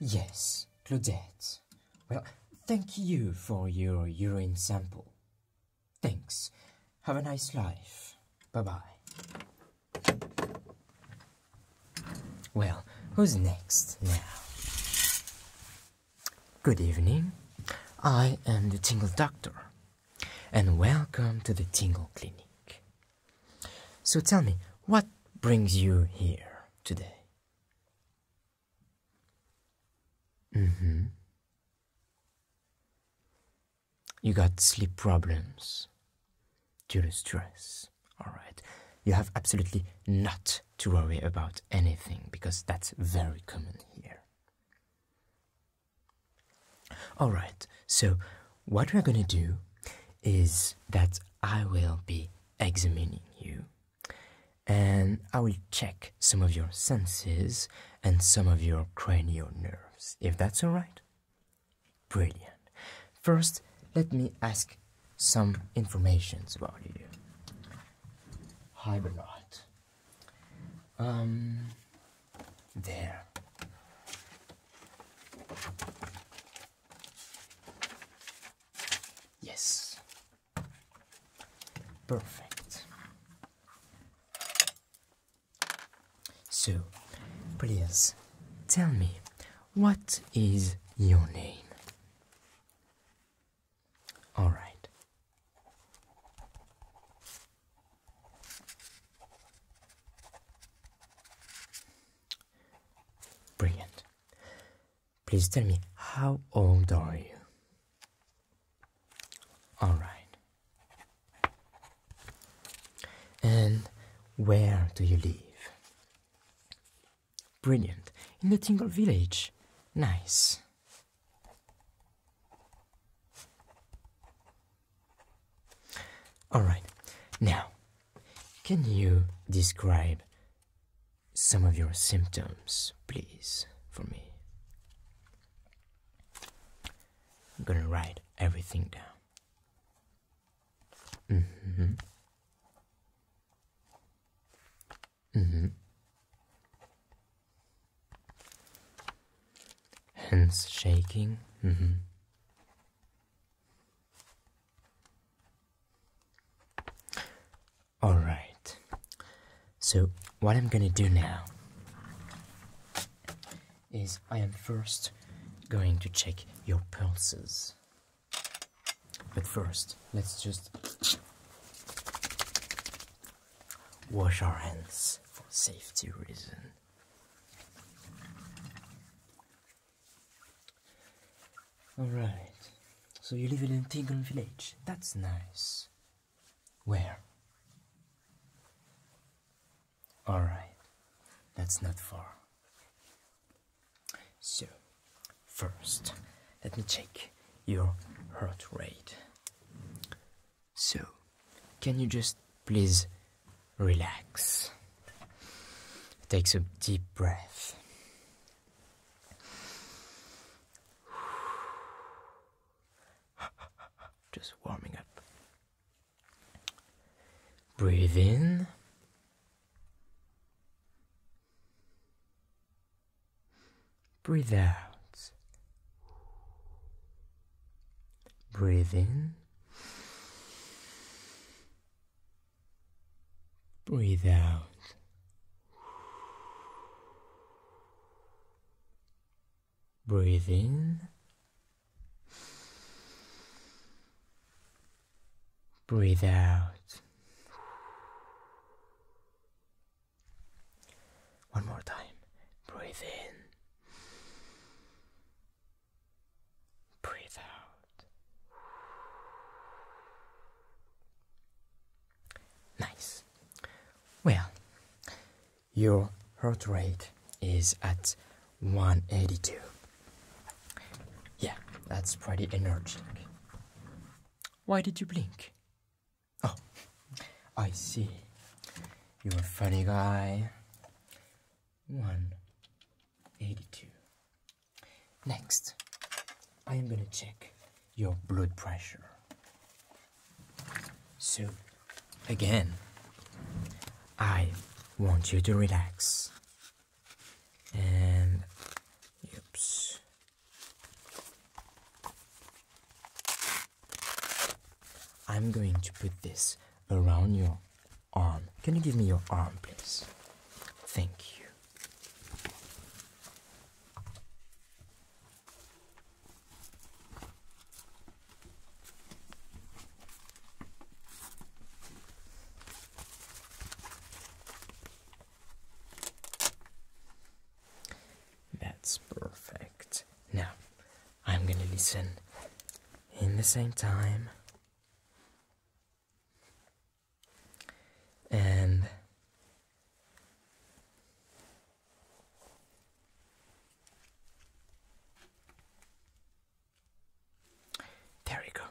Yes, Claudette. Well, thank you for your urine sample. Thanks. Have a nice life. Bye-bye. Well, who's next now? Good evening. I am the Tingle Doctor, and welcome to the Tingle Clinic. So tell me, what brings you here today? Mm-hmm. You got sleep problems due to stress. All right. You have absolutely not to worry about anything because that's very common here. All right. So what we're going to do is that I will be examining you and I will check some of your senses and some of your cranial nerves, if that's all right. Brilliant. First, let me ask some informations about you. Hi, Um, there. Yes. Perfect. So, please tell me, what is your name? All right. Brilliant. Please tell me, how old are you? All right. And where do you live? Brilliant. In the Tingle Village. Nice. All right. Now, can you describe some of your symptoms, please, for me? I'm gonna write everything down. Mm hmm. Mm hmm. Hands shaking. Mm hmm. Alright, so what I'm gonna do now is I am first going to check your pulses. But first, let's just wash our hands for safety reason. Alright, so you live in a village. That's nice. Where? Alright, that's not far. So, first, let me check your heart rate. So, can you just please relax? takes a deep breath. Just warming up. Breathe in. Breathe out. Breathe in. Breathe out. Breathe in. Breathe out. One more time. Breathe in. Breathe out. Nice. Well, your heart rate is at 182. Yeah, that's pretty energetic. Why did you blink? Oh, I see. You're a funny guy. 182. Next, I am going to check your blood pressure. So, again, I want you to relax. And, oops. I'm going to put this around your arm. Can you give me your arm, please? Thank you. That's perfect. Now, I'm gonna listen in the same time. And there you go.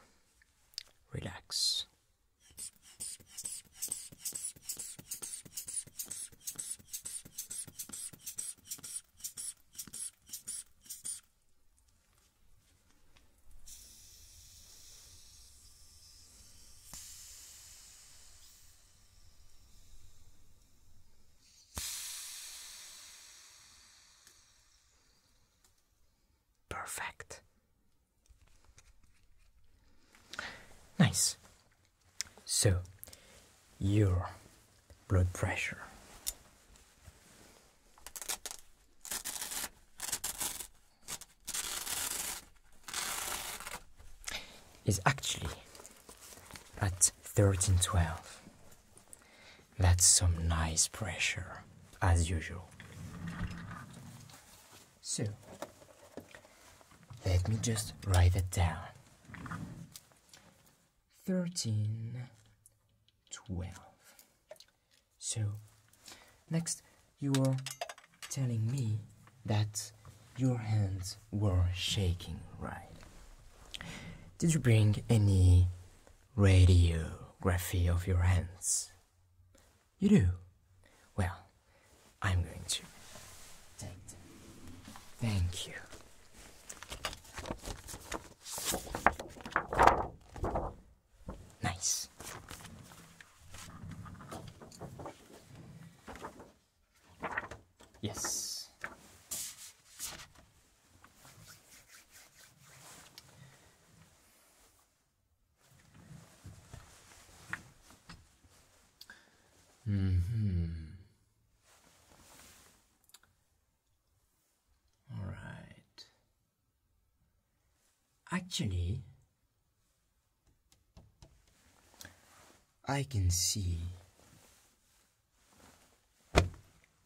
Relax. Perfect. Nice. So, your blood pressure is actually at 1312. That's some nice pressure, as usual. So, let me just write it down. Thirteen twelve. So, next, you were telling me that your hands were shaking, right? Did you bring any radiography of your hands? You do? Well, I'm going to take them. Thank you. Nice. Yes. hmm. All right. Actually, I can see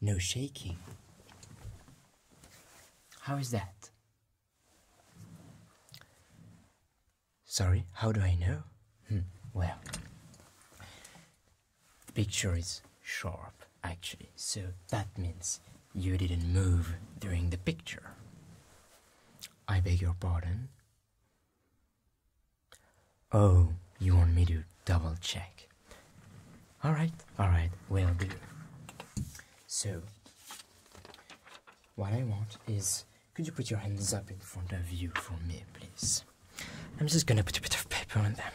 no shaking. How is that? Sorry, how do I know? Hmm, well, the picture is sharp actually, so that means you didn't move during the picture. I beg your pardon? Oh, you want me to double check? Alright, alright, will do. So, what I want is could you put your hands up in front of you for me, please? I'm just gonna put a bit of paper on them.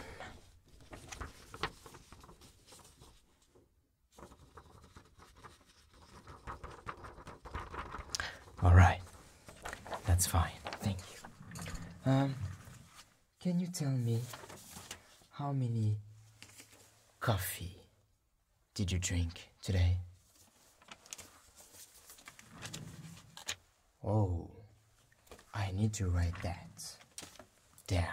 All right, that's fine. Thank you. Um, can you tell me how many coffee did you drink today? Oh, I need to write that down.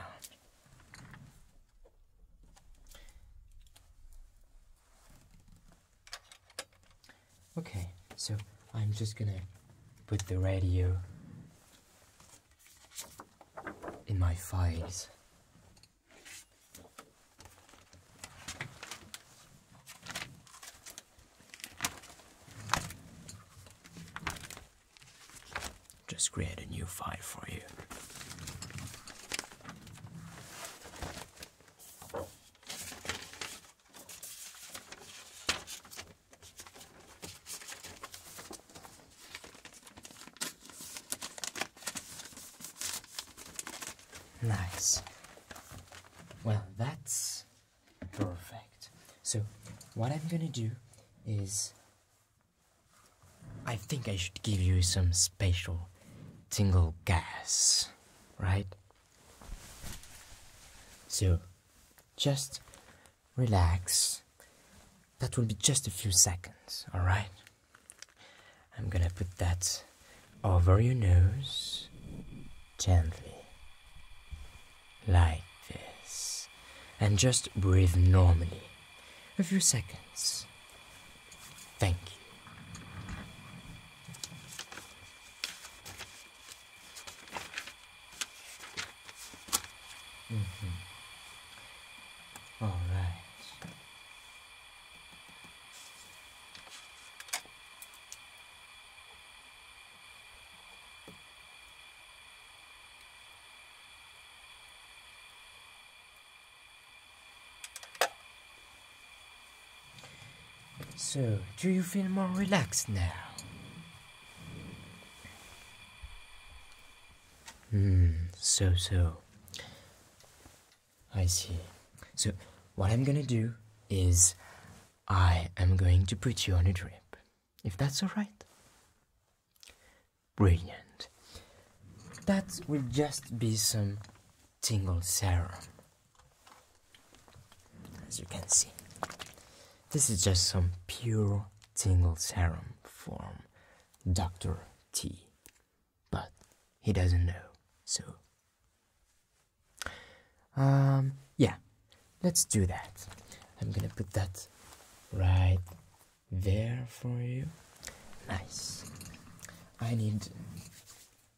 Okay, so I'm just gonna put the radio in my files. Just create a new file for you. Nice. Well, that's perfect. So, what I'm gonna do is I think I should give you some special tingle gas, right? So, just relax. That will be just a few seconds, alright? I'm gonna put that over your nose gently, like this, and just breathe normally. A few seconds. Thank you. Mm -hmm. All right. So, do you feel more relaxed now? Hmm, so, so. I see. So, what I'm gonna do is I am going to put you on a drip, if that's alright. Brilliant. That will just be some tingle serum. As you can see, this is just some pure tingle serum from Dr. T. But he doesn't know, so. Um, yeah, let's do that. I'm gonna put that right there for you. Nice. I need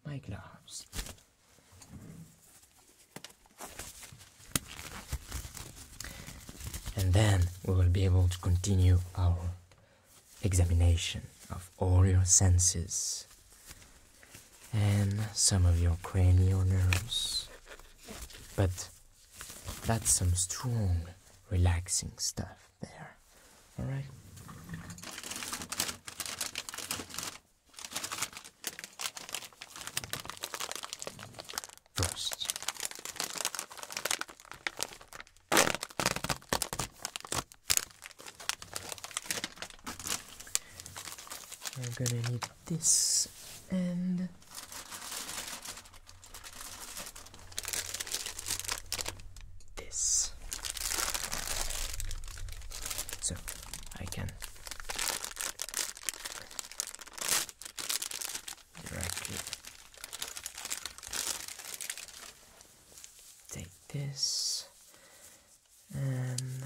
my gloves. And then we will be able to continue our examination of all your senses and some of your cranial nerves. But that's some strong, relaxing stuff there. All right. First, I'm gonna need this and this so I can take this and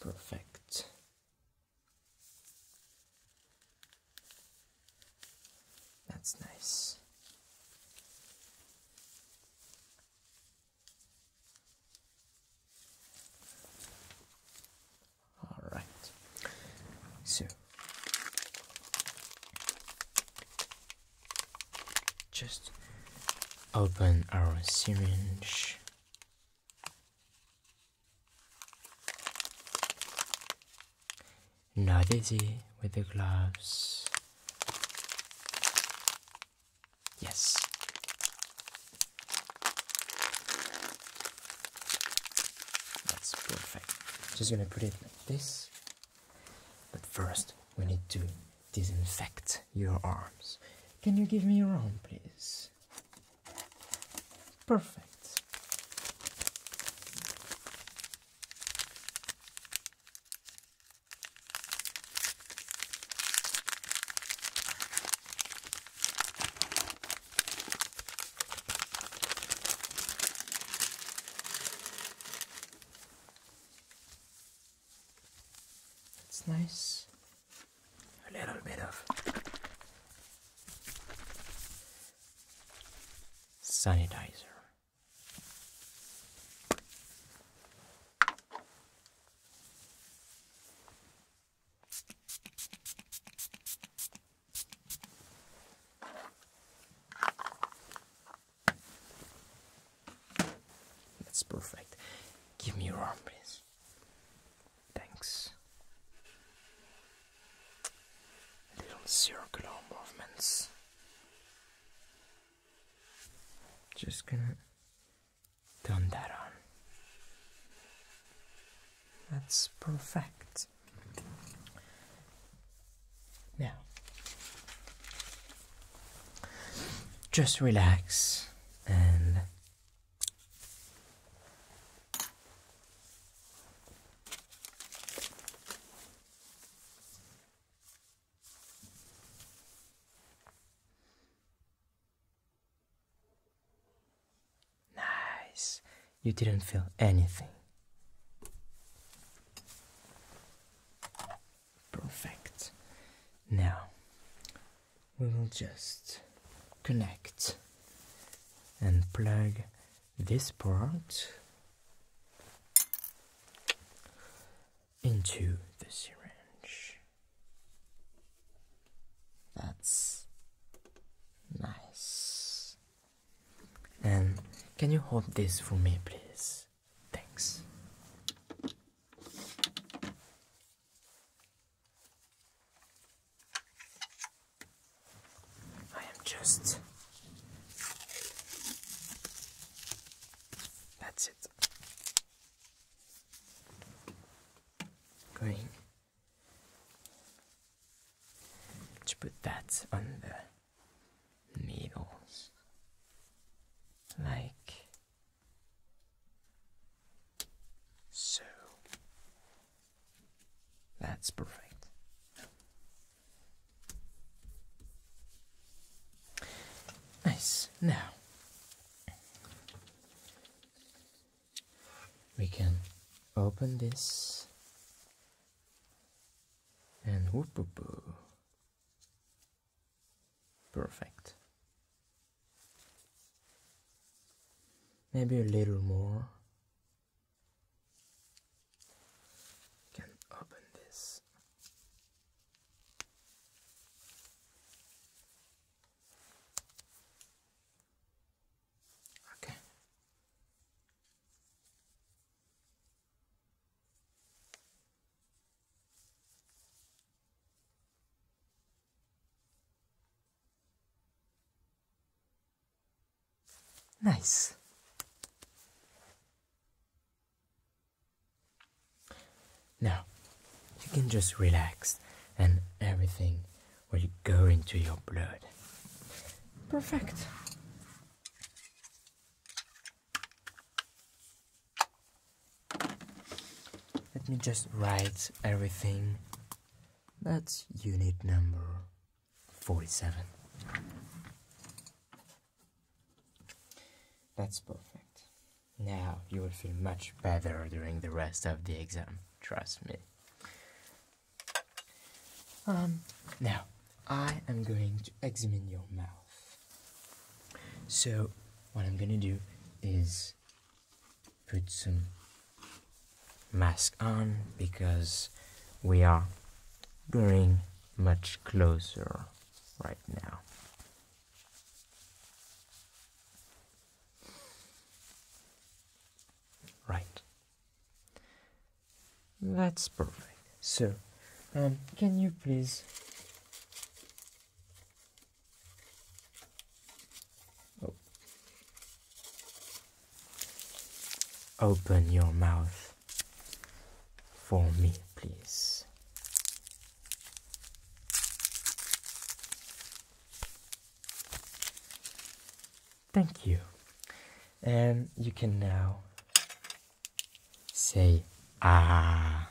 Perfect. That's nice. All right. So just open our syringe not easy with the gloves. Yes. That's perfect. Just gonna put it like this. But first, we need to disinfect your arms. Can you give me your arm, please? Perfect. It's nice. A little bit of sanitizer. That's perfect. Give me your arm, please. Thanks. Little circular movements. Just gonna turn that on. That's perfect. Now, just relax and Nice. You didn't feel anything. Perfect. Now, we will just connect and plug this part into the syringe. That's nice. And can you hold this for me, please? Thanks. I am just. That's it. Going to put that on the needles like so that's perfect. Nice. Now we can open this and whoop whoop. whoop. Perfect. Maybe a little more. Can open this. Okay. Nice. Now, you can just relax and everything will go into your blood. Perfect. Let me just write everything. That's unit number 47. That's perfect. Now you will feel much better during the rest of the exam, trust me. Um, now, I am going to examine your mouth. So, what I'm gonna do is put some mask on because we are going much closer right now. Right. That's perfect. So, um, can you please Oh. Open your mouth for me, please. Thank you. And you can now say ah.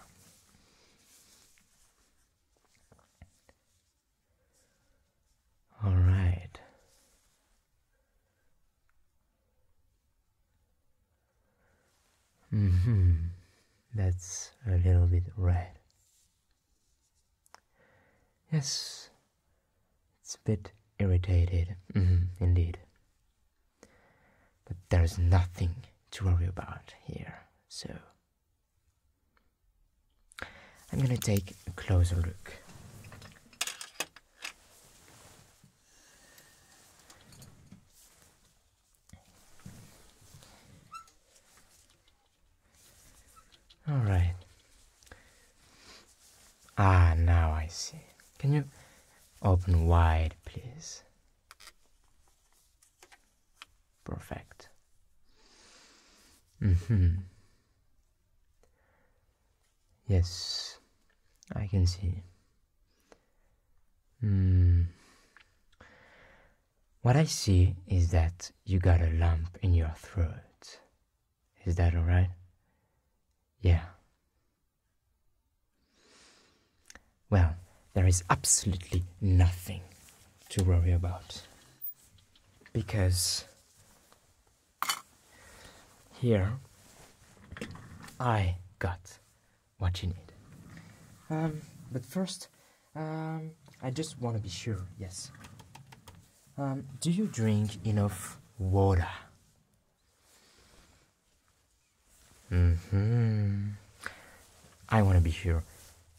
All right. hmm. That's a little bit red. Yes, it's a bit irritated, -hmm, indeed. But there's nothing to worry about here, so I'm going to take a closer look. All right. Ah, now I see. Can you open wide, please? Perfect. Mm hmm. Yes, I can see. Mm. What I see is that you got a lump in your throat. Is that alright? Yeah. Well, there is absolutely nothing to worry about because here I got what you need. Um, but first, um, I just want to be sure, yes. Um, do you drink enough water? hmm. I want to be sure.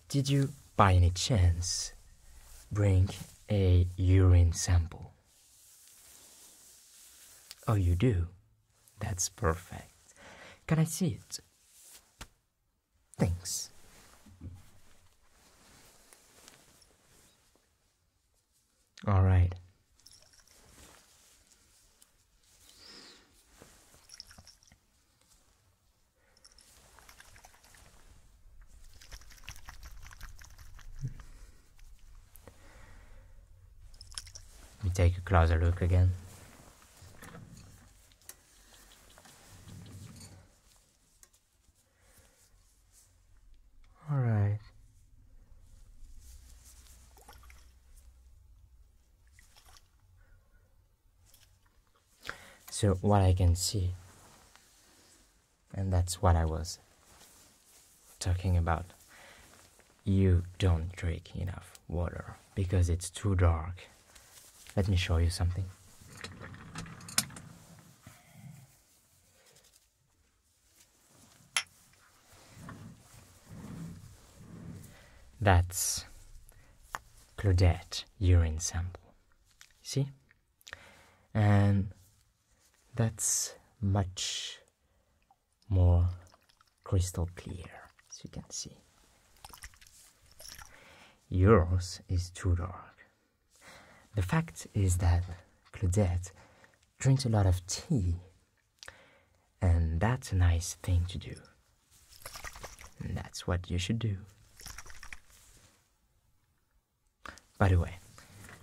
Did you, by any chance, bring a urine sample? Oh, you do? That's perfect. Can I see it? Thanks. All right. Let me take a closer look again. All right so what I can see, and that's what I was talking about. You don't drink enough water because it's too dark. Let me show you something. That's Claudette urine sample. See? And that's much more crystal clear, as you can see. Yours is too dark. The fact is that Claudette drinks a lot of tea, and that's a nice thing to do. And that's what you should do. By the way,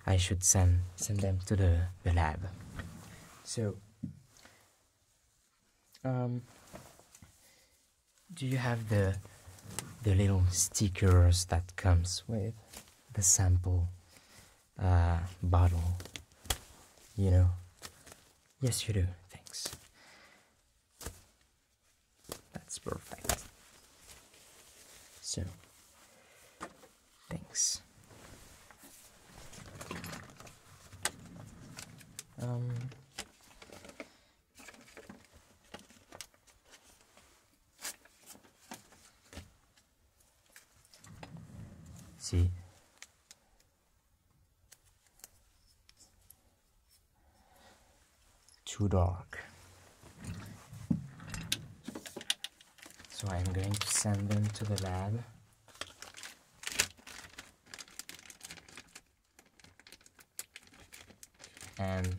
I should send send them to the, the lab. So um do you have the the little stickers that comes with the sample uh, bottle you know yes you do thanks that's perfect. So, thanks. Um, see, too dark so I'm going to send them to the lab and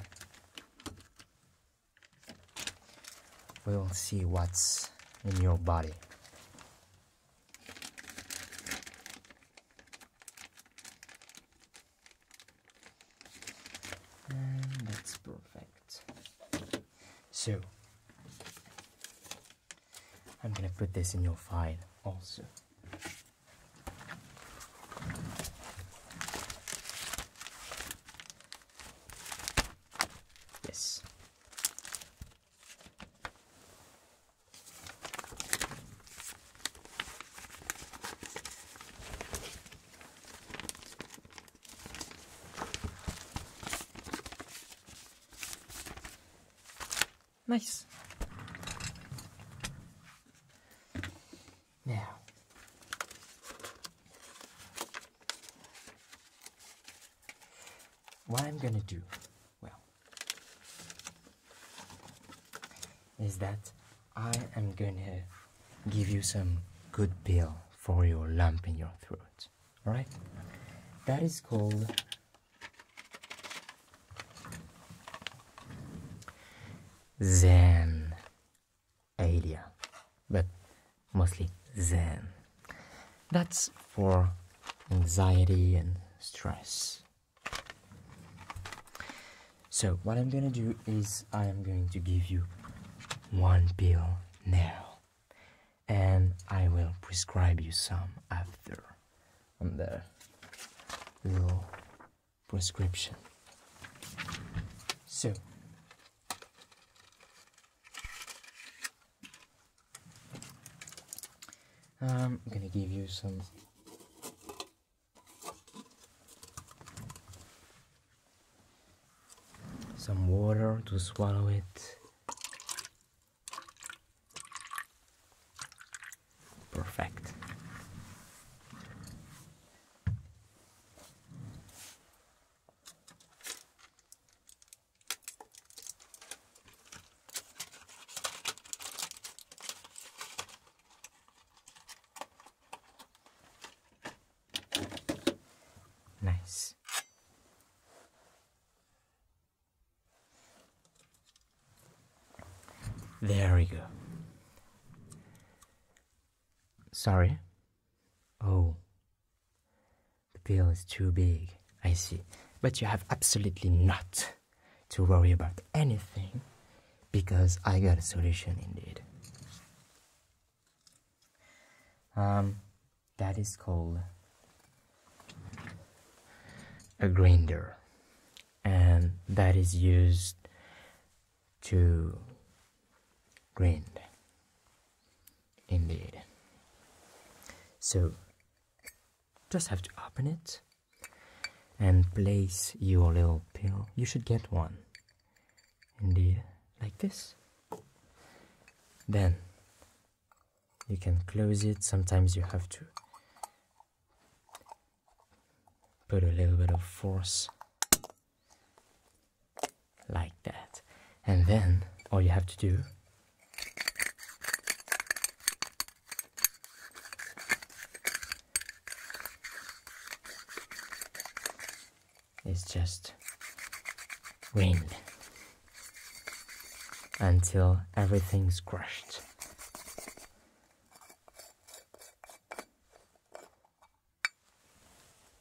we'll see what's in your body and that's perfect. So, I'm gonna put this in your file also. Yes. Nice. Now, what I'm going to do well is that I am gonna give you some good pill for your lump in your throat. Alright? That is called Zen Alia. But mostly Zen. That's for anxiety and stress. So what I'm gonna do is I am going to give you one pill now and I will prescribe you some after on the little prescription. So I'm gonna give you some some water to swallow it. Perfect. Nice. There we go. Sorry. Oh. The bill is too big. I see. But you have absolutely not to worry about anything because I got a solution indeed. Um, that is called a grinder, and that is used to grind. Indeed. So, just have to open it and place your little pill. You should get one. Indeed, like this. Then you can close it. Sometimes you have to put a little bit of force like that. And then all you have to do it's just rain until everything's crushed.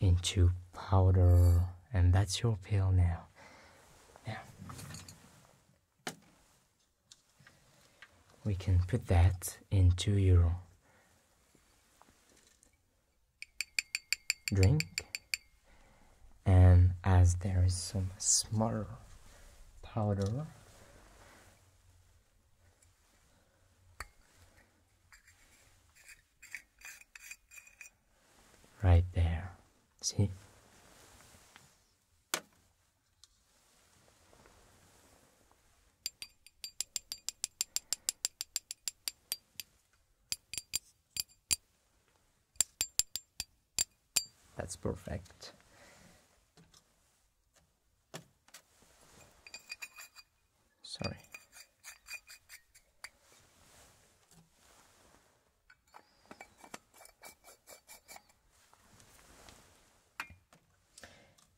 into powder and that's your pill now. Yeah we can put that into your Drink. And as there is some smaller powder, right there. See? That's perfect. Sorry.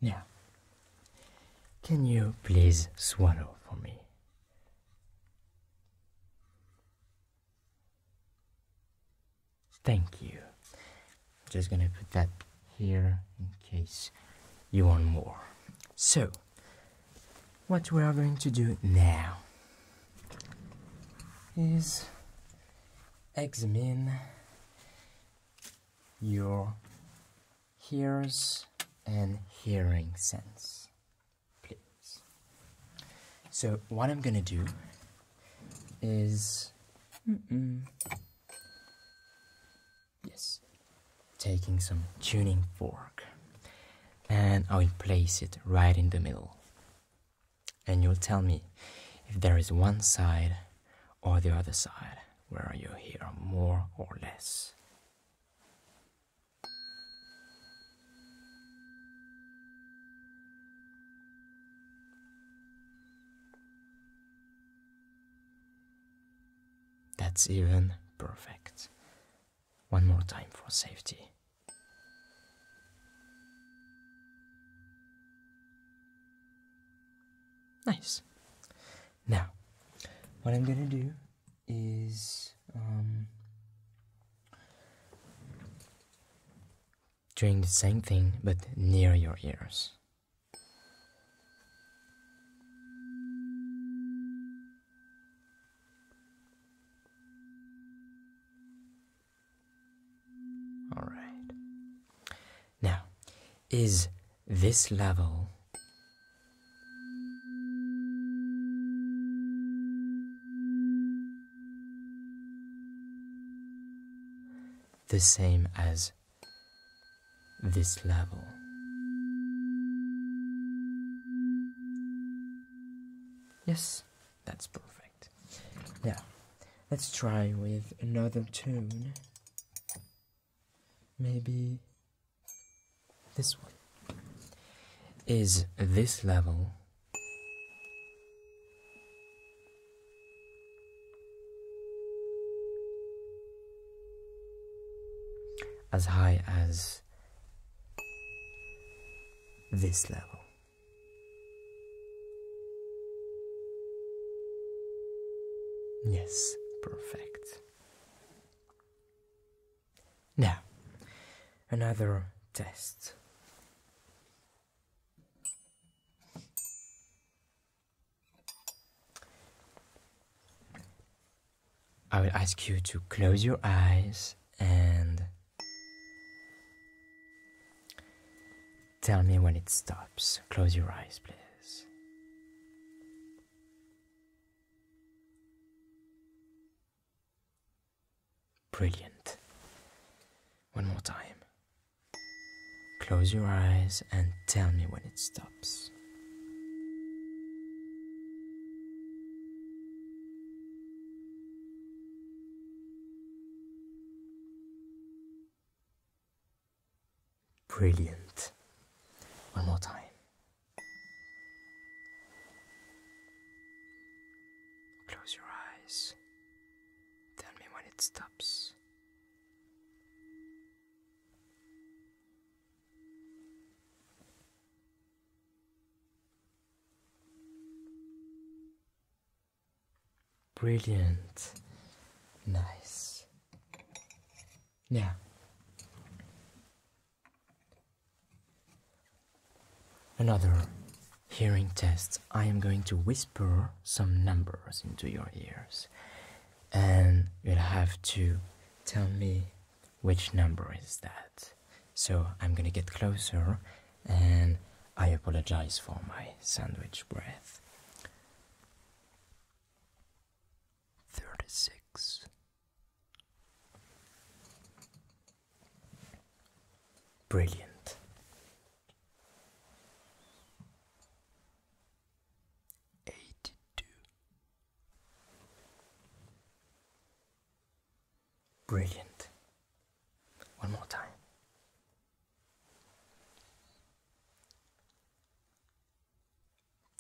Now, can you please swallow for me? Thank you. I'm just gonna put that here in case you want more. So, what we are going to do now is examine your ears and hearing sense, please. So what I'm gonna do is, yes, taking some tuning fork and I'll place it right in the middle and you'll tell me if there is one side or the other side where you hear more or less. That's even perfect. One more time for safety. Nice. Now, what I'm gonna do is um, doing the same thing but near your ears. All right. Now, is this level the same as this level? Yes, that's perfect. Now, Let's try with another tune. Maybe this one. Is this level? As high as this level. Yes, perfect. Now, another test. I will ask you to close your eyes and Tell me when it stops. Close your eyes, please. Brilliant. One more time. Close your eyes and tell me when it stops. Brilliant. One more time. Close your eyes. Tell me when it stops. Brilliant. Nice. Now, another hearing test. I am going to whisper some numbers into your ears, and you'll have to tell me which number is that. So I'm gonna get closer, and I apologize for my sandwich breath thirty six. Brilliant. Eighty two. Brilliant. One more time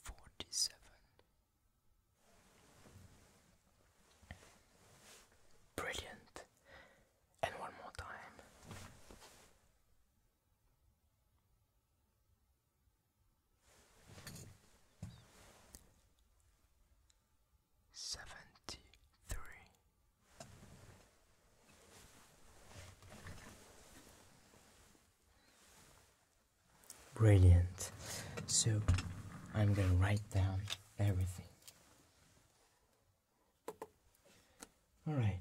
forty seven. Brilliant. And one more time. Seventy three. Brilliant. So I'm gonna write down everything. All right.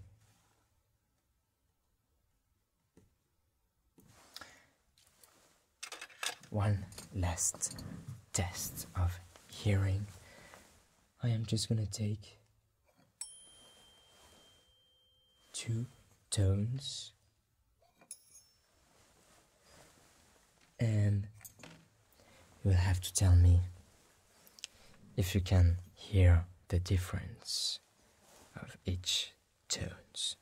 One last test of hearing. I am just gonna take two tones and you'll have to tell me if you can hear the difference of each tones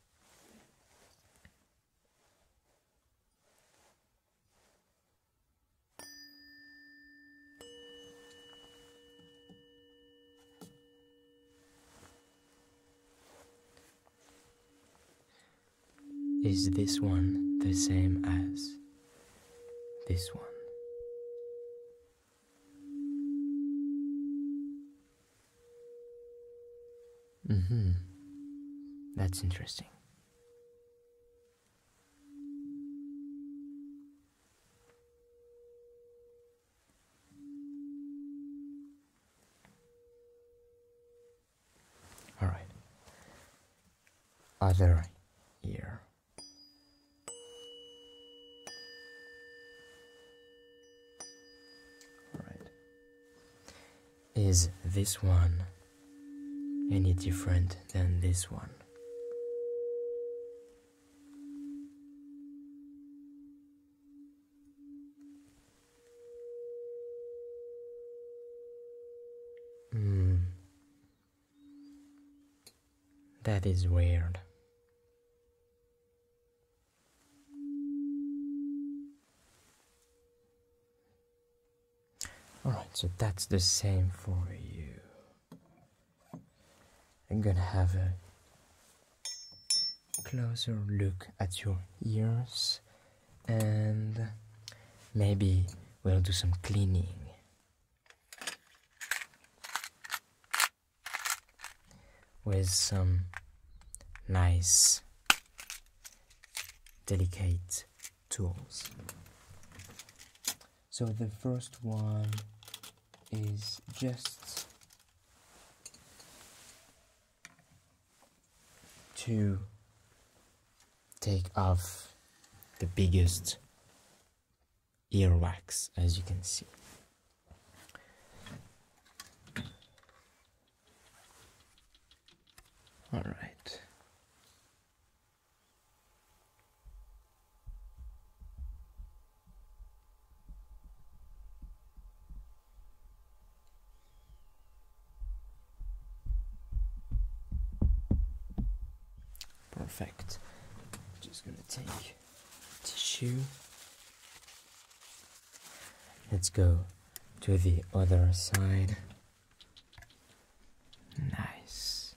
is this one the same as this one? Mm hmm. That's interesting. All right. Other ear. All right. Is this one any different than this one? Mm. That is weird. Alright, so that's the same for you. I'm gonna have a closer look at your ears and maybe we'll do some cleaning. With some nice, delicate tools. So the first one is just to take off the biggest earwax as you can see. All right. Perfect. Just gonna take tissue. Let's go to the other side. Nice.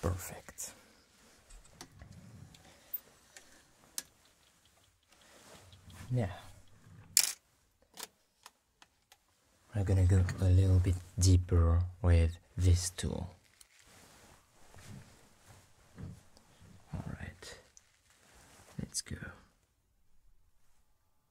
Perfect. Yeah. We're gonna go a little bit deeper with this tool. Alright, let's go.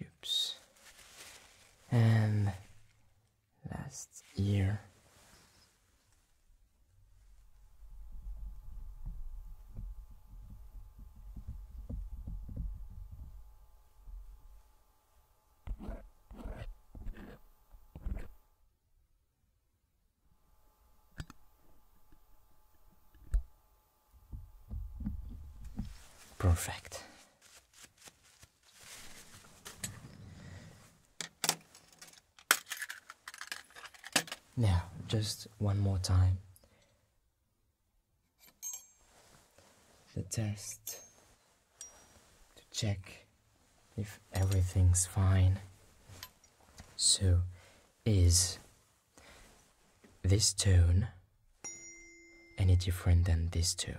Oops. And last year. Perfect. Now, just one more time. The test to check if everything's fine. So, is this tone any different than this tone.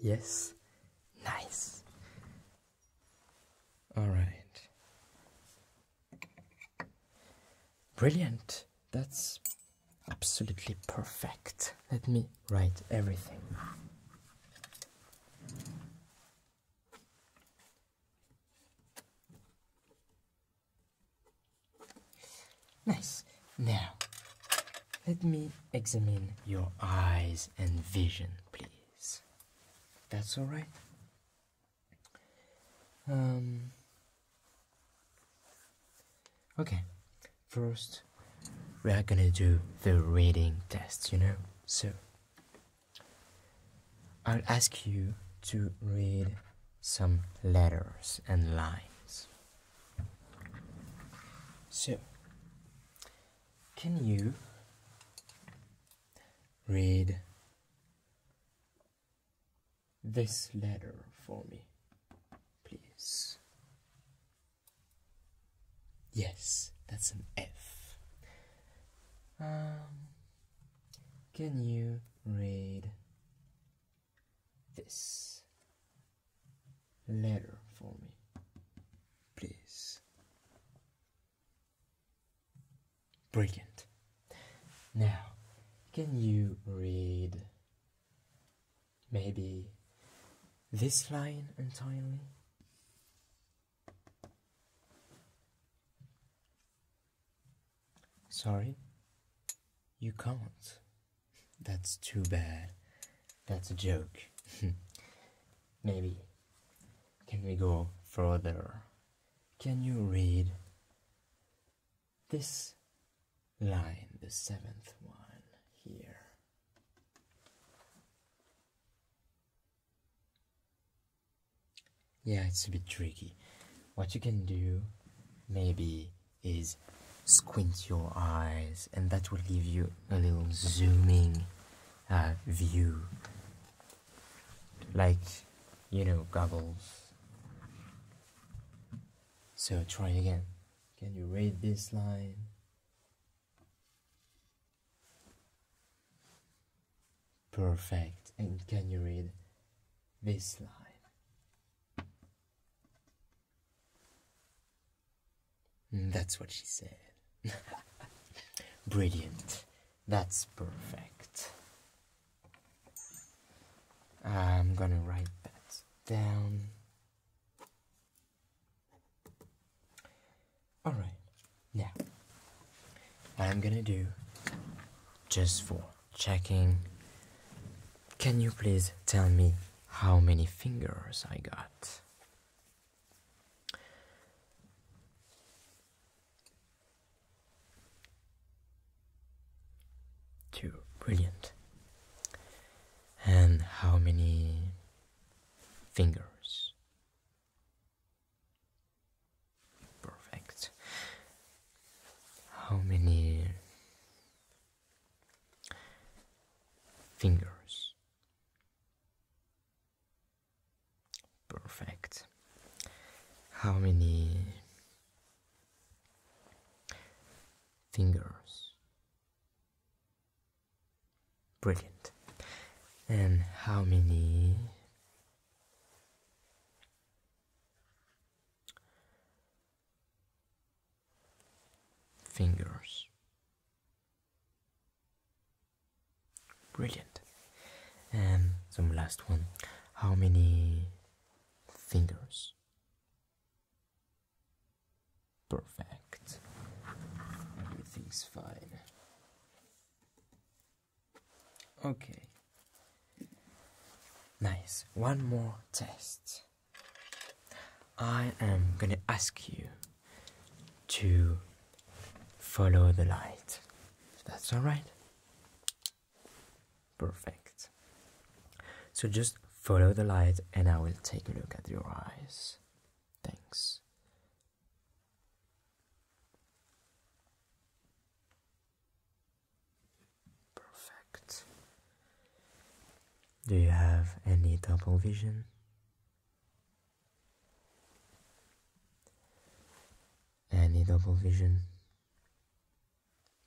Yes. Nice. All right. Brilliant. That's absolutely perfect. Let me write everything. Nice. Now, let me examine your eyes and vision, please. That's all right. Um, Okay, first we are gonna do the reading test, you know? So I'll ask you to read some letters and lines. So, can you read this letter for me, please? Yes, that's an F. Um, can you read this letter for me, please? Brilliant. Now, can you read Maybe this line entirely? Sorry, you can't. That's too bad. That's a joke. Maybe. Can we go further? Can you read this line, the seventh one here. Yeah, it's a bit tricky. What you can do maybe is squint your eyes and that will give you a little zooming uh, view like you know goggles so try again can you read this line Perfect. And can you read this line? Mm, that's what she said. Brilliant. That's perfect. I'm gonna write that down. Alright, now I'm gonna do just for checking. Can you please tell me how many fingers I got? Two, brilliant. And how many fingers? Perfect. How many fingers? Perfect. How many fingers? Brilliant. And how many? Fingers. Brilliant. And the last one. How many fingers Perfect. Everything's fine. Okay. Nice. One more test. I am going to ask you to follow the light. That's all right. Perfect. So just Follow the light and I will take a look at your eyes. Thanks. Perfect. Do you have any double vision? Any double vision?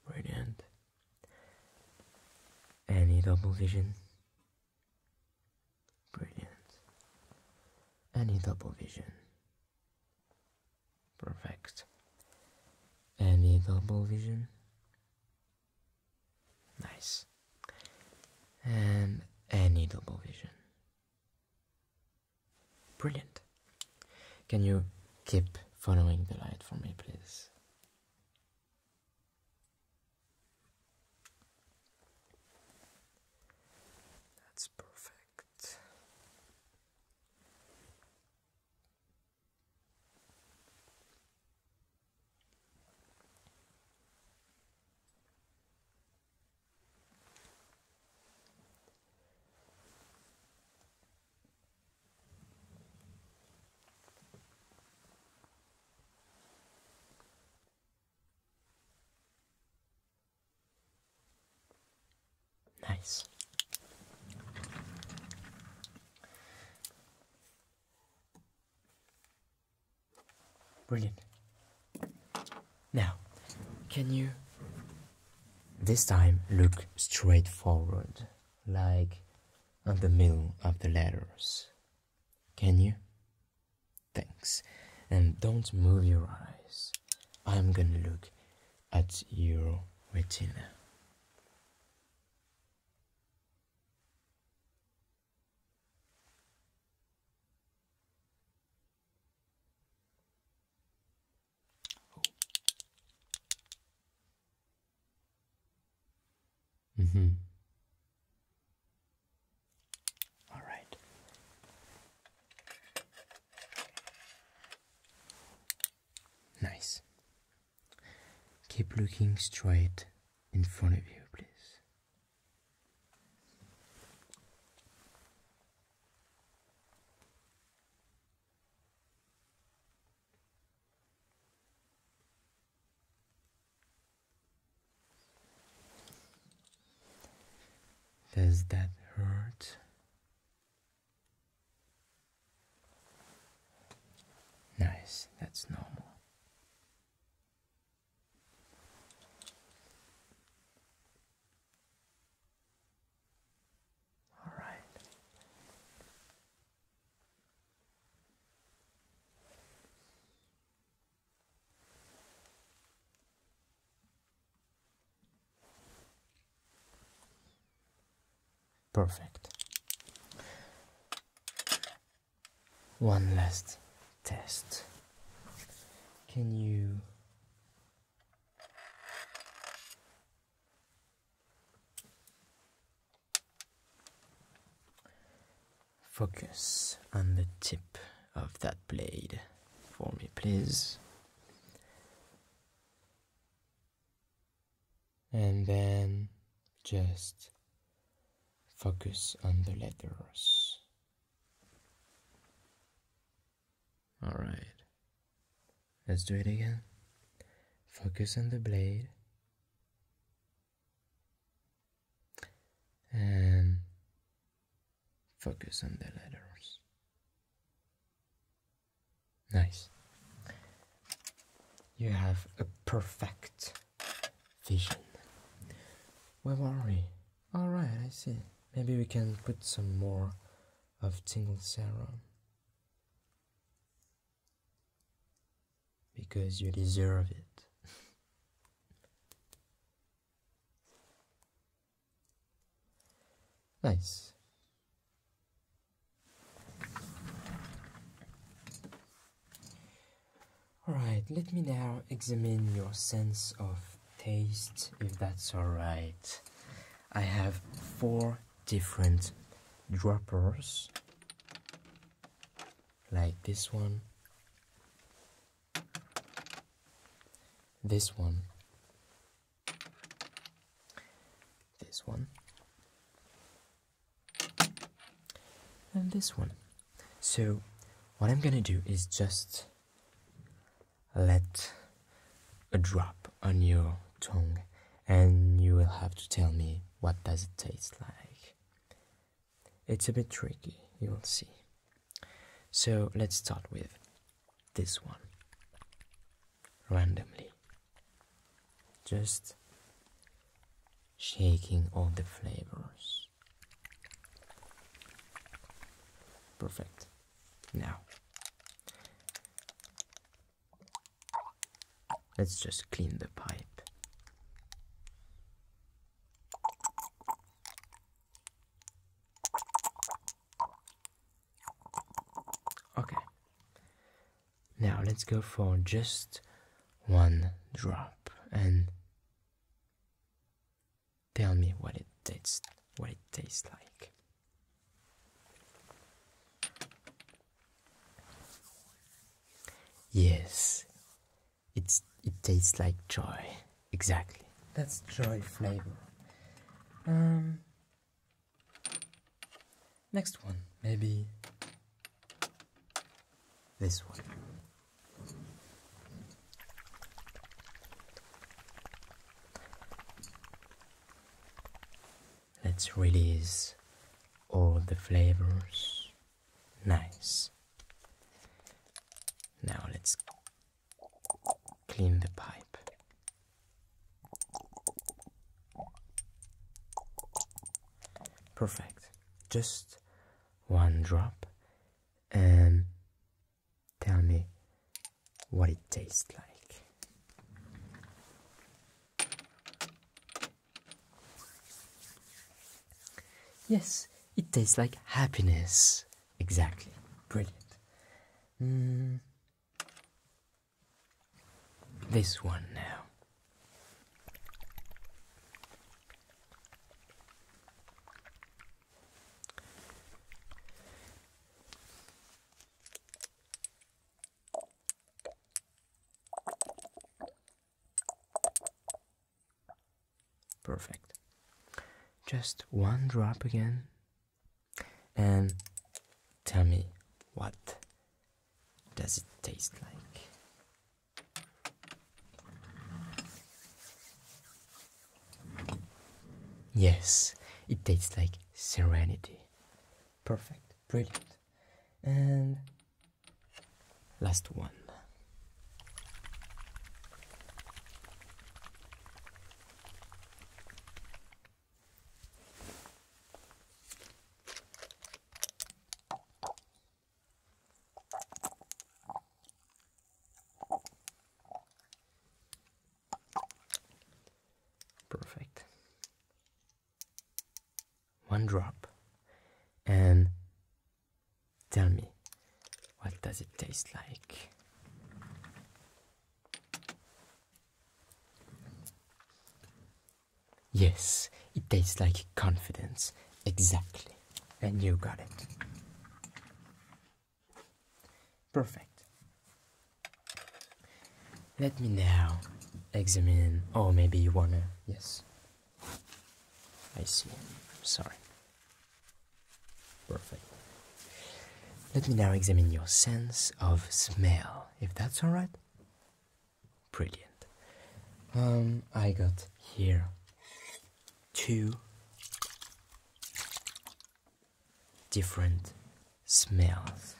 Brilliant. Any double vision? Brilliant. Any double vision. Perfect. Any double vision. Nice. And any double vision. Brilliant. Can you keep following the light for me, please? That's perfect. Nice. Brilliant. Now, can you this time look straightforward, like at the middle of the letters? Can you? Thanks. And don't move your eyes. I'm gonna look at your retina. Mm-hmm. All right. Nice. Keep looking straight in front of you, please. Does that hurt? Nice, that's normal. All right. Perfect. One last test. Can you Focus on the tip of that blade for me, please. And then just focus on the letters. All right. Let's do it again. Focus on the blade and focus on the letters. Nice. You have a perfect vision. Where are we? Alright, I see. Maybe we can put some more of tingle serum because you deserve it. nice. Alright, let me now examine your sense of taste, if that's alright. I have four different droppers like this one, this one, this one, and this one. So, what I'm gonna do is just let a drop on your tongue and you will have to tell me what does it taste like it's a bit tricky, you will see. So let's start with this one randomly, just shaking all the flavors. Perfect. Now, Let's just clean the pipe. Okay. Now let's go for just one drop and tell me what it tastes what it tastes like. Yes, it's it tastes like joy. Exactly. That's joy flavor. Um Next one, maybe this one. Let's release all the flavors Nice. Now let's clean the pipe. Perfect. Just one drop and tell me what it tastes like. Yes, it tastes like happiness. Exactly. Brilliant. Hmm. This one now. Perfect. Just one drop again and tell me what does it taste like? Yes, it tastes like serenity. Perfect, brilliant. And Last one. Perfect. One drop. And Tell me, what does it taste like? Yes, it tastes like confidence. Exactly. And you got it. Perfect. Let me now examine. Or maybe you wanna. Yes. I see. Sorry. Perfect. Let me now examine your sense of smell, if that's alright. Brilliant. Um, I got here two different smells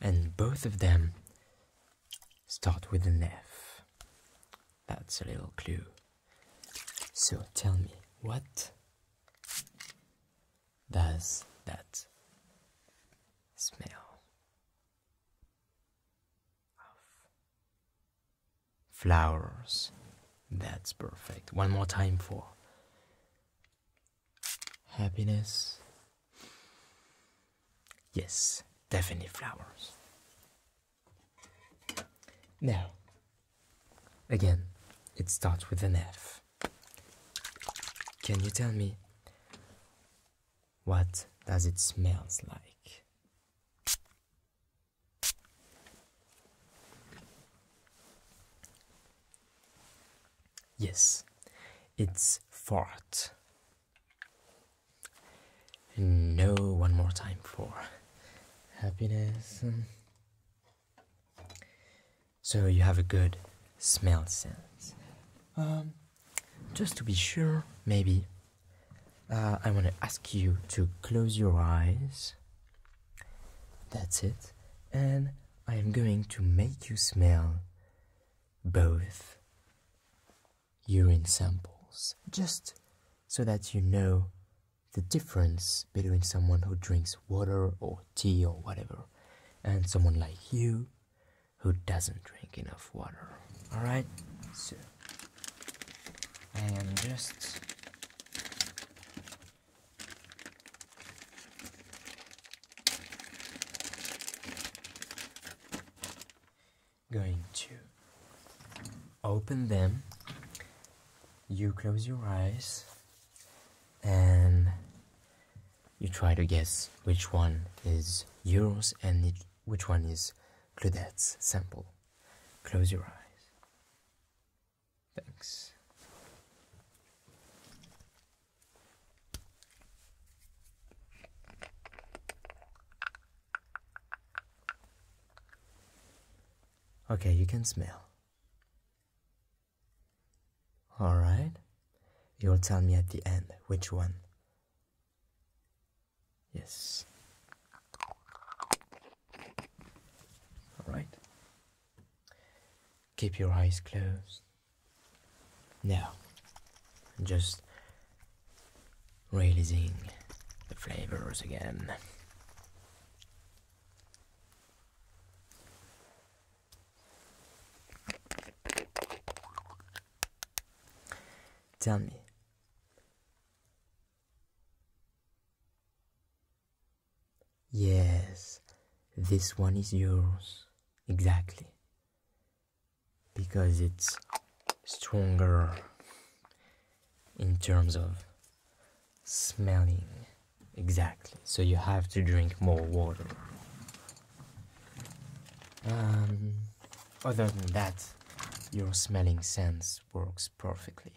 and both of them start with an F. That's a little clue. So tell me, what does that smell of? Flowers. That's perfect. One more time for happiness. Yes, definitely flowers. Now, again, it starts with an F. Can you tell me what does it smells like? Yes, it's fart. No, one more time for happiness. So you have a good smell sense. Um, just to be sure, maybe uh, I want to ask you to close your eyes. That's it. And I am going to make you smell both urine samples just so that you know the difference between someone who drinks water or tea or whatever and someone like you who doesn't drink enough water. Alright? So, I am just Going to open them. You close your eyes and you try to guess which one is yours and which one is Claudette's sample. Close your eyes. Thanks. Okay, you can smell. All right. You'll tell me at the end which one. Yes. All right. Keep your eyes closed. Now, just realizing the flavors again. Tell me, Yes, this one is yours. Exactly because it's stronger in terms of smelling exactly so you have to drink more water um, other than that your smelling sense works perfectly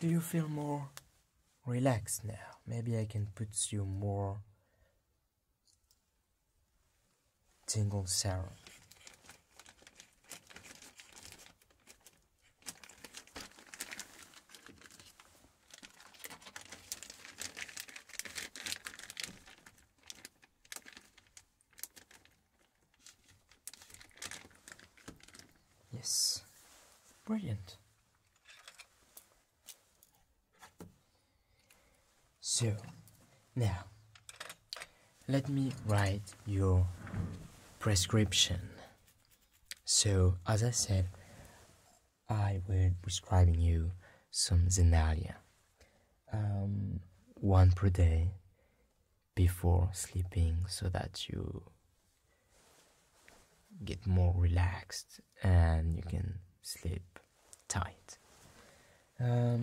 do you feel more relax now. Maybe I can put you more tingle Sarah. Yes, brilliant. So, now, let me write your prescription. So, as I said, I will prescribing you some Xenalia, um, one per day before sleeping so that you get more relaxed and you can sleep tight. Um,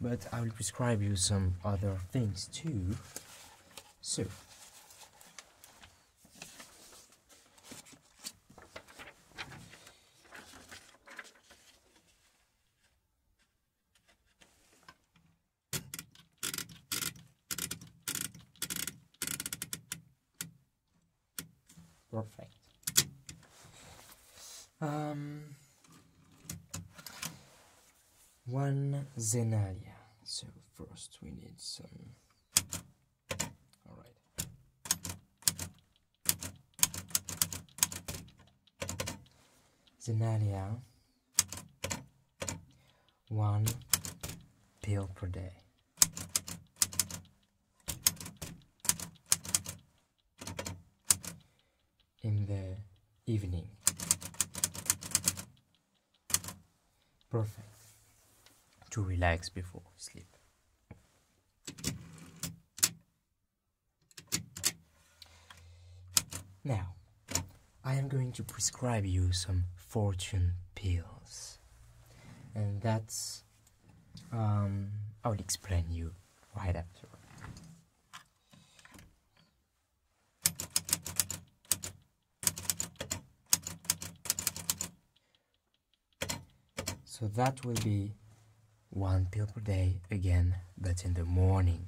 but I will prescribe you some other things too. So, Perfect. Um, one Zenalia. So first we need some. All right. Zenalia one pill per day. In the evening. Perfect to relax before sleep. Now, I am going to prescribe you some fortune pills. And that's. Um, I will explain you right after. So that will be one pill per day again, but in the morning.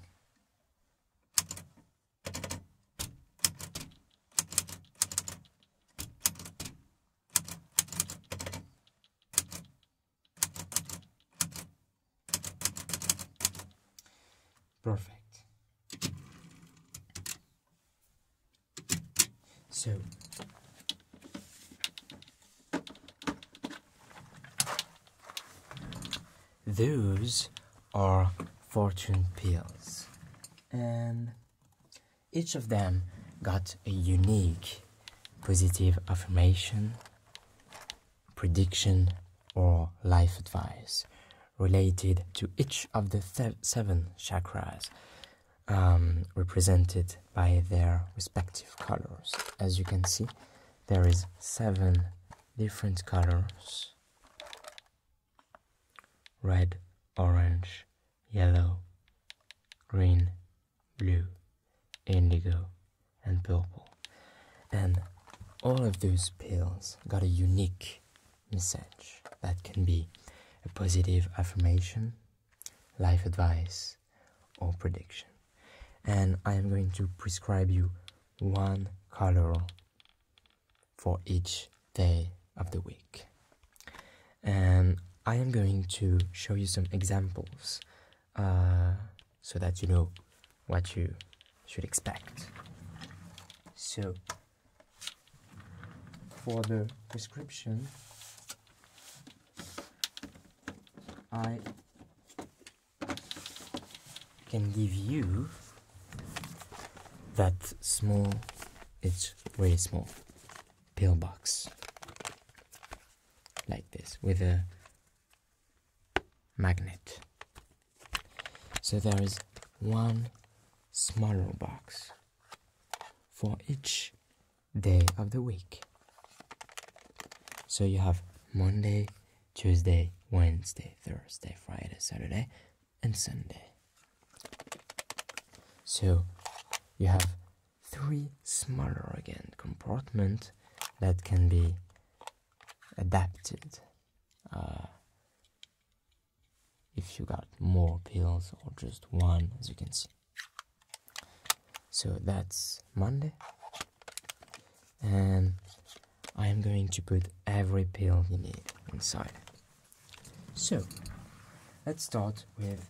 Perfect. So those or fortune pills. And each of them got a unique positive affirmation, prediction, or life advice related to each of the seven chakras um, represented by their respective colors. As you can see, there is seven different colors red, orange, yellow, green, blue, indigo, and purple. And all of those pills got a unique message that can be a positive affirmation, life advice, or prediction. And I am going to prescribe you one color for each day of the week. And I am going to show you some examples uh, so that you know what you should expect. So, for the prescription, I can give you that small it's very small pill box like this with a magnet so there is one smaller box for each day of the week so you have monday tuesday wednesday thursday friday saturday and Sunday. So you have three smaller again compartment that can be adapted uh, if you got more pills or just one as you can see. So that's Monday and I am going to put every pill you need inside. So, let's start with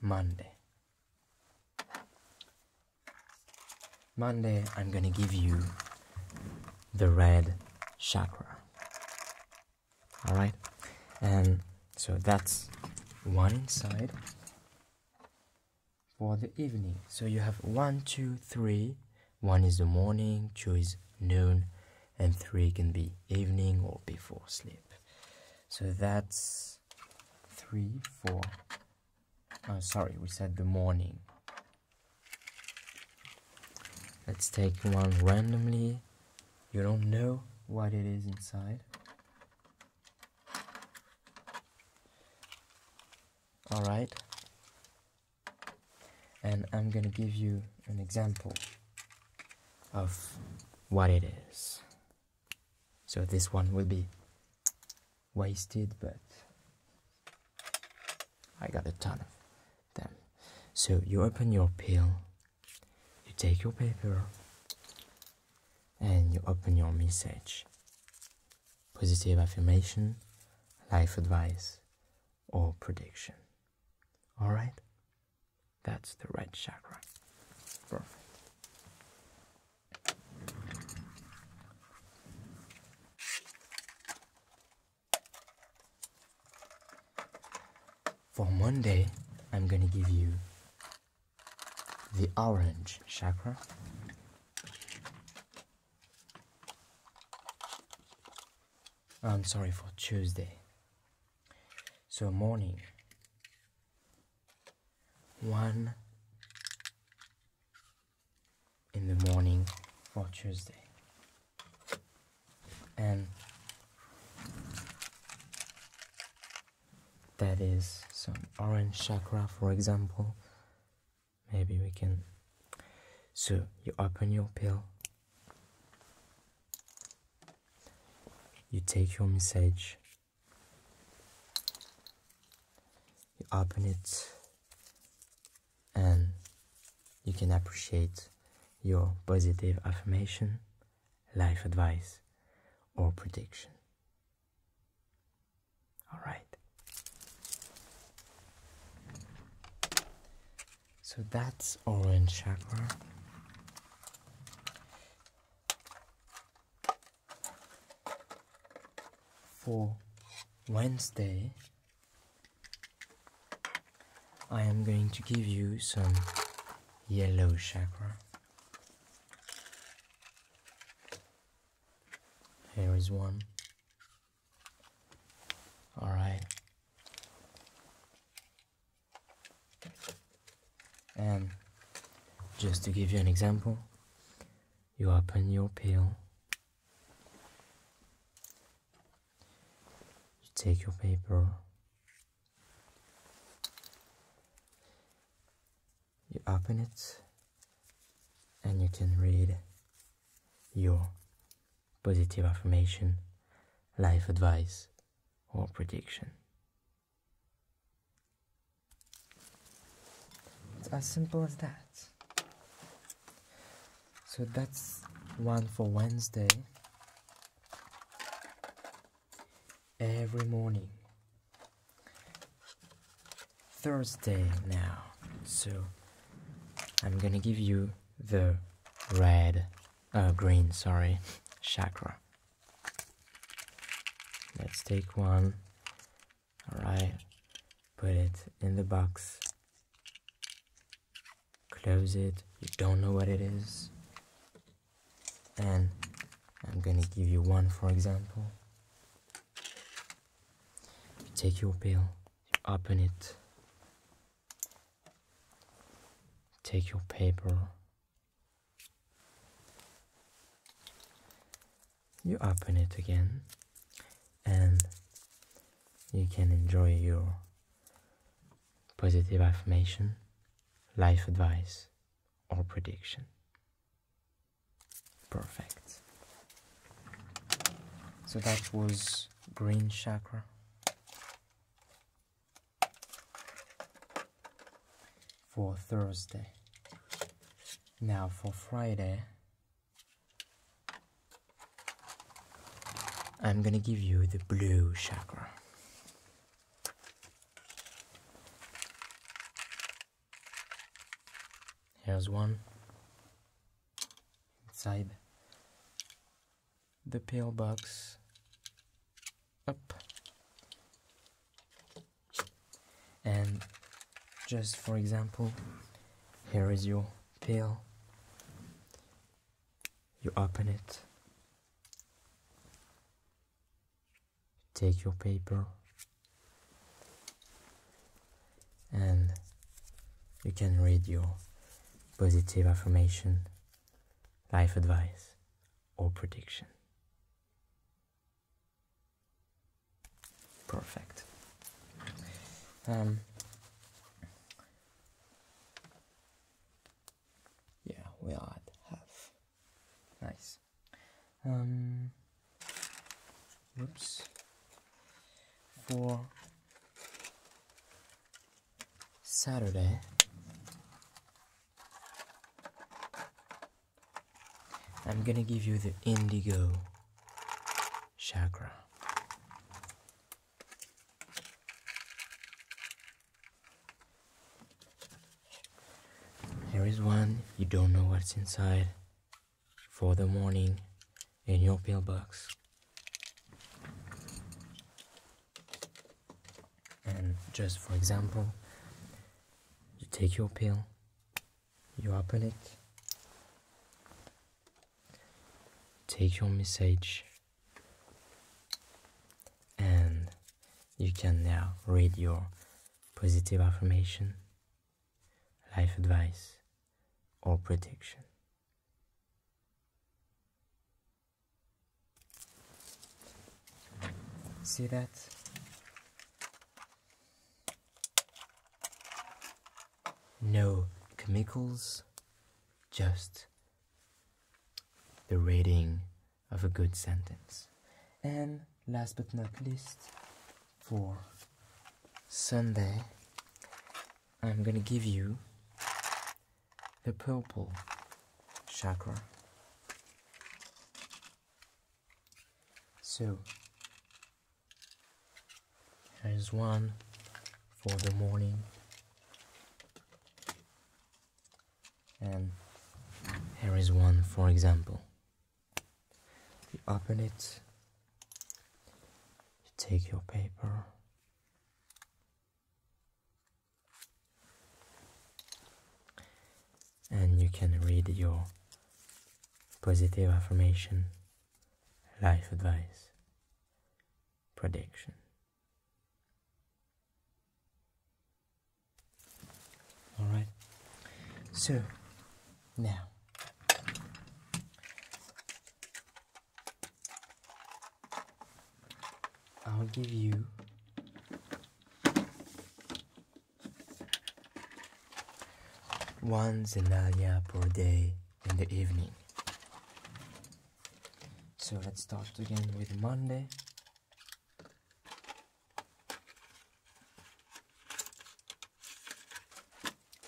Monday. Monday, I'm gonna give you the red chakra. Alright? And um, so that's one side for the evening. So you have one, two, three, one is the morning, two is noon, and three can be evening or before sleep. So that's three, four. Oh, sorry, we said the morning. Let's take one randomly. You don't know what it is inside. Alright and I'm gonna give you an example of what it is. So this one will be wasted, but I got a ton of them. So you open your peel, you take your paper, and you open your message. Positive affirmation, life advice, or prediction. All right? That's the red chakra. Perfect. For Monday, I'm going to give you the orange chakra. I'm sorry for Tuesday. So morning. One in the morning for Tuesday. And that is some orange chakra, for example. Maybe we can. So you open your pill you take your message, you open it, and you can appreciate your positive affirmation, life advice, or prediction. All right. So that's orange chakra. For Wednesday, I am going to give you some yellow chakra. Here is one, all right. And just to give you an example, you open your pill, you take your paper, you open it, and you can read your positive affirmation, life advice, or prediction. It's as simple as that. So that's one for Wednesday. Every morning. Thursday now. So I'm gonna give you the red, uh, green, sorry, chakra. Let's take one. Alright, put it in the box. Close it. You don't know what it is. And I'm gonna give you one for example. take your pill, open it, take your paper you open it again and you can enjoy your positive affirmation life advice or prediction perfect so that was green chakra for Thursday. Now for Friday, I'm gonna give you the blue chakra. Here's one inside the pill box up and just for example here is your pill you open it take your paper and you can read your positive affirmation, life advice, or prediction. Perfect. Um, yeah, we are at half. Nice. Um, For Saturday. I'm gonna give you the indigo chakra. There is one, you don't know what's inside for the morning in your pill box, And just for example, you take your pill, you open it, take your message, and you can now read your positive affirmation, life advice, or prediction. See that? No chemicals, just the rating of a good sentence. And last but not least, for Sunday, I'm gonna give you the purple chakra. So, there is one for the morning, and there is one, for example. You open it, you take your paper, and you can read your positive affirmation, life advice, prediction. All right. So now I'll give you one zenania per day in the evening. So let's start again with Monday.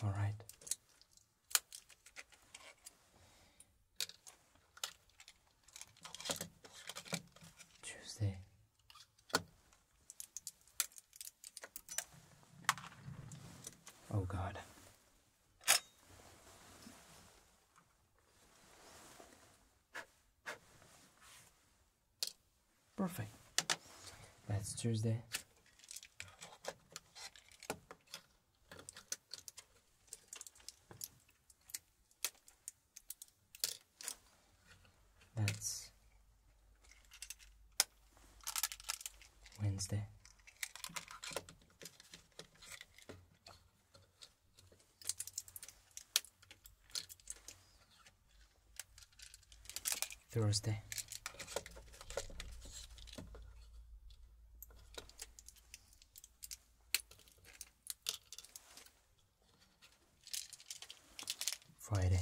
All right, Tuesday. Oh, God. Perfect. That's Tuesday. That's Wednesday. Thursday. Friday.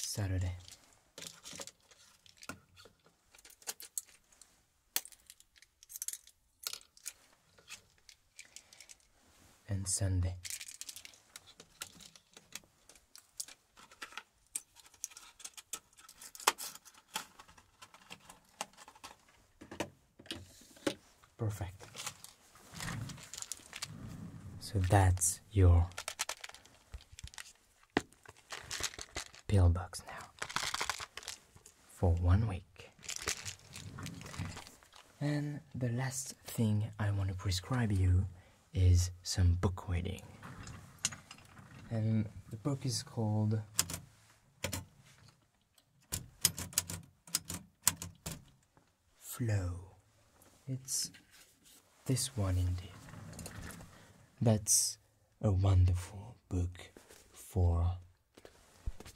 Saturday and Sunday. Perfect. So that's your pillbox now for one week. And the last thing I want to prescribe you is some book reading. And the book is called Flow. It's this one indeed. That's a wonderful book for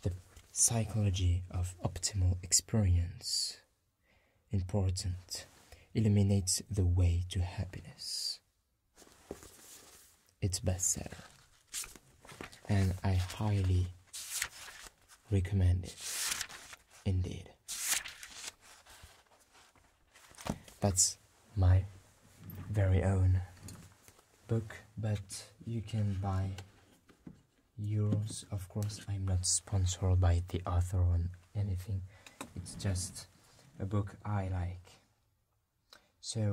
the psychology of optimal experience, important, illuminates the way to happiness. It's bestseller, and I highly recommend it. Indeed, that's my very own book but you can buy euros of course i'm not sponsored by the author on anything it's just a book i like so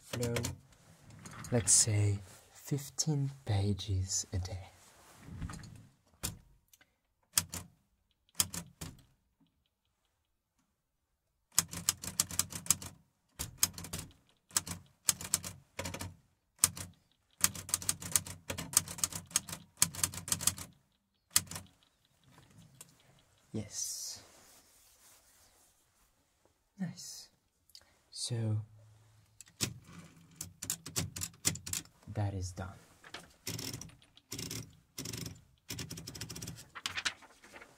flow let's say 15 pages a day Yes. Nice. So that is done.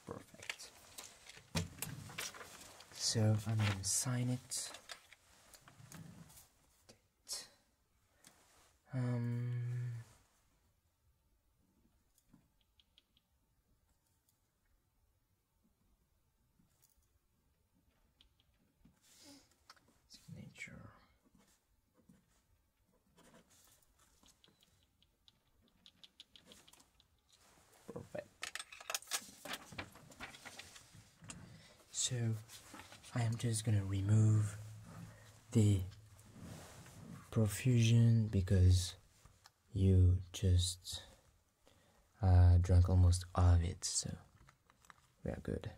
Perfect. So I'm going to sign it. Um, signature. Perfect. So I am just gonna remove the profusion because you just uh, drank almost all of it, so we are good.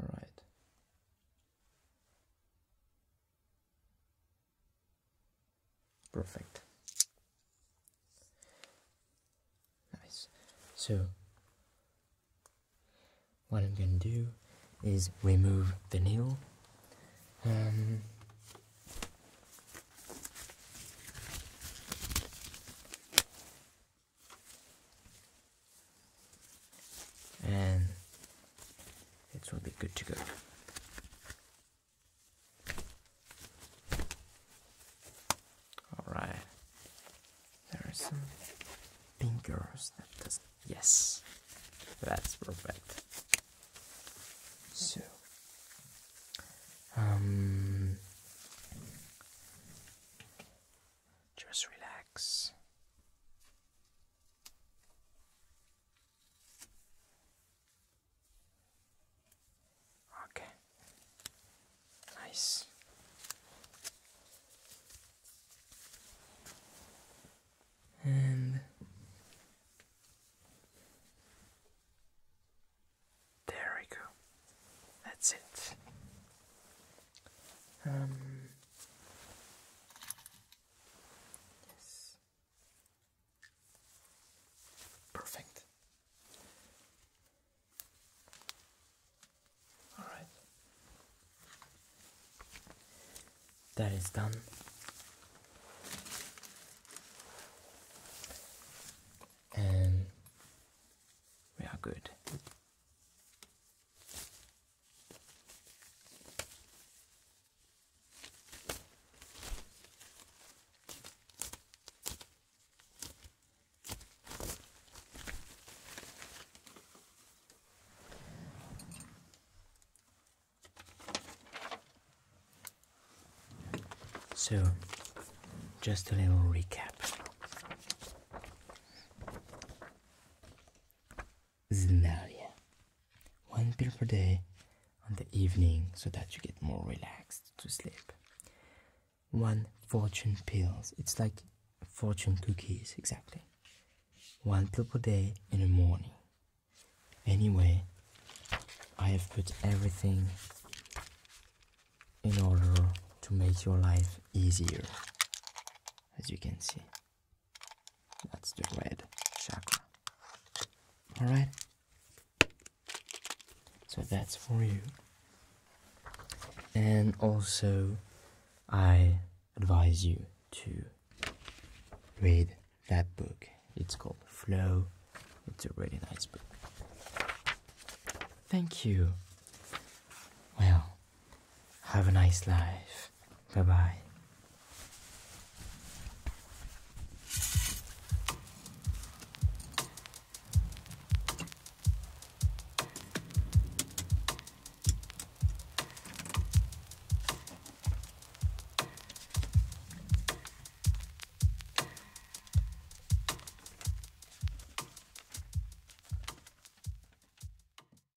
All right perfect nice so what I'm gonna do is remove the needle. Um, and it will be good to go. Alright, there are some fingers yes, that's perfect. So, um, just relax. Okay. Nice. And there we go. That's it. Um Yes. Perfect. All right. That is done. And we are good. So, just a little recap. Zinaria. One pill per day on the evening so that you get more relaxed to sleep. One fortune pills. It's like fortune cookies, exactly. One pill per day in the morning. Anyway, I have put everything in order to make your life easier, as you can see. That's the red chakra. All right. So that's for you. And also, I advise you to read that book. It's called Flow. It's a really nice book. Thank you. Well, have a nice life. Bye bye.